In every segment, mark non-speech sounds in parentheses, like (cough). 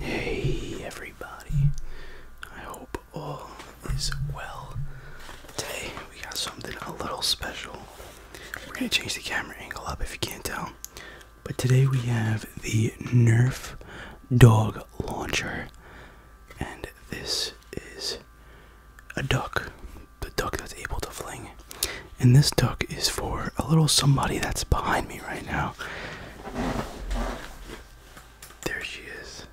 Hey everybody, I hope all is well. Today we got something a little special. We're going to change the camera angle up if you can't tell. But today we have the Nerf dog launcher, and this is a duck, the duck that's able to fling. And this duck is for a little somebody that's behind me right now. There she is.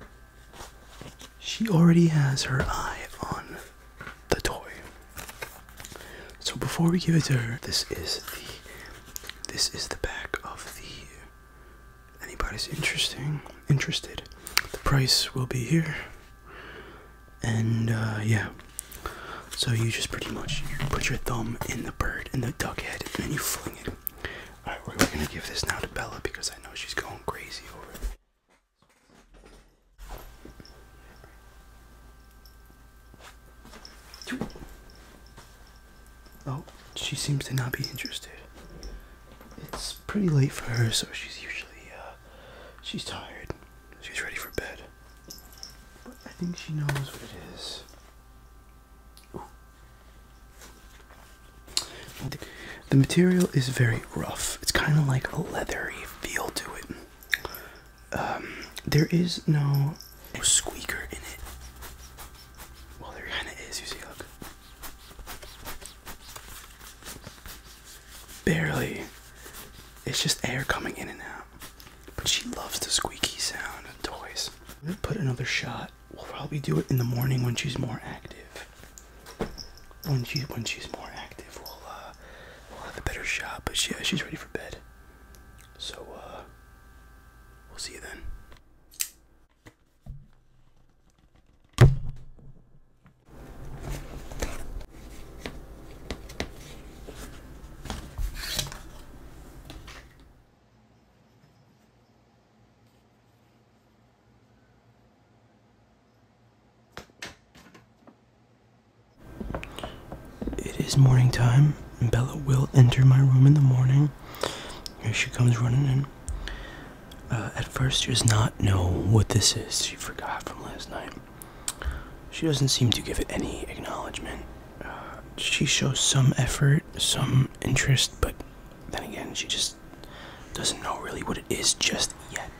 She already has her eye on the toy. So before we give it to her, this is the this is the back of the anybody's interesting interested. The price will be here. And uh yeah, so you just pretty much put your thumb in the bird, in the duck head, and then you fling it. All right, we're gonna give this now to Bella because I know she's going crazy over it. Oh, she seems to not be interested. It's pretty late for her, so she's usually, uh, she's tired. She's ready for bed. But I think she knows what it is. The material is very rough. It's kind of like a leathery feel to it. Um, there is no squeaker in it. Well, there kind of is. You see, look. Barely. It's just air coming in and out. But she loves the squeaky sound of toys. I'm gonna put another shot. We'll probably do it in the morning when she's more active. When she when she's more active, we'll uh, we'll have a better shot. But yeah, she's ready for bed. So uh, we'll see you then. It is morning time. and Bella will enter my room in the morning. Here she comes running in. Uh, at first, she does not know what this is. She forgot from last night. She doesn't seem to give it any acknowledgement. she shows some effort, some interest, but then again, she just doesn't know really what it is just yet.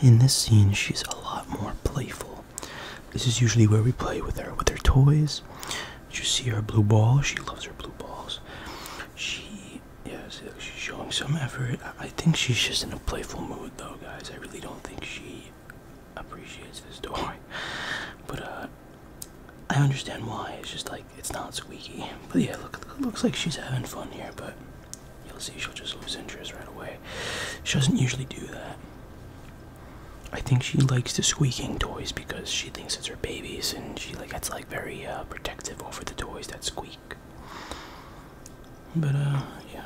In this scene, she's a lot more playful. This is usually where we play with her, with her toys. Did You see her blue ball. She loves her blue balls. She she yeah she's showing some effort i think she's just in a playful mood though guys i really don't think she appreciates this toy (laughs) but uh i understand why it's just like it's not squeaky but yeah look looks like she's having fun here but you'll see she'll just lose interest right away she doesn't usually do that i think she likes the squeaking toys because she thinks it's her babies and she like that's like very uh, protective over the toys that squeak but uh, yeah.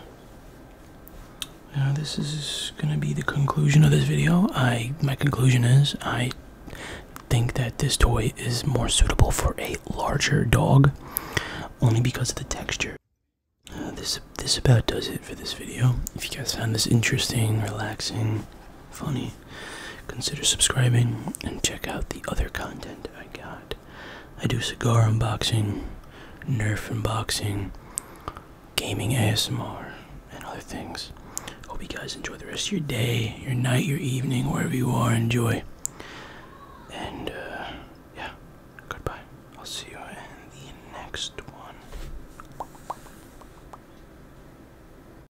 Uh, this is gonna be the conclusion of this video. I my conclusion is I think that this toy is more suitable for a larger dog, only because of the texture. Uh, this this about does it for this video. If you guys found this interesting, relaxing, funny, Consider subscribing and check out the other content I got. I do cigar unboxing, Nerf unboxing, gaming ASMR, and other things. Hope you guys enjoy the rest of your day, your night, your evening, wherever you are. Enjoy. And uh, yeah, goodbye. I'll see you in the next one.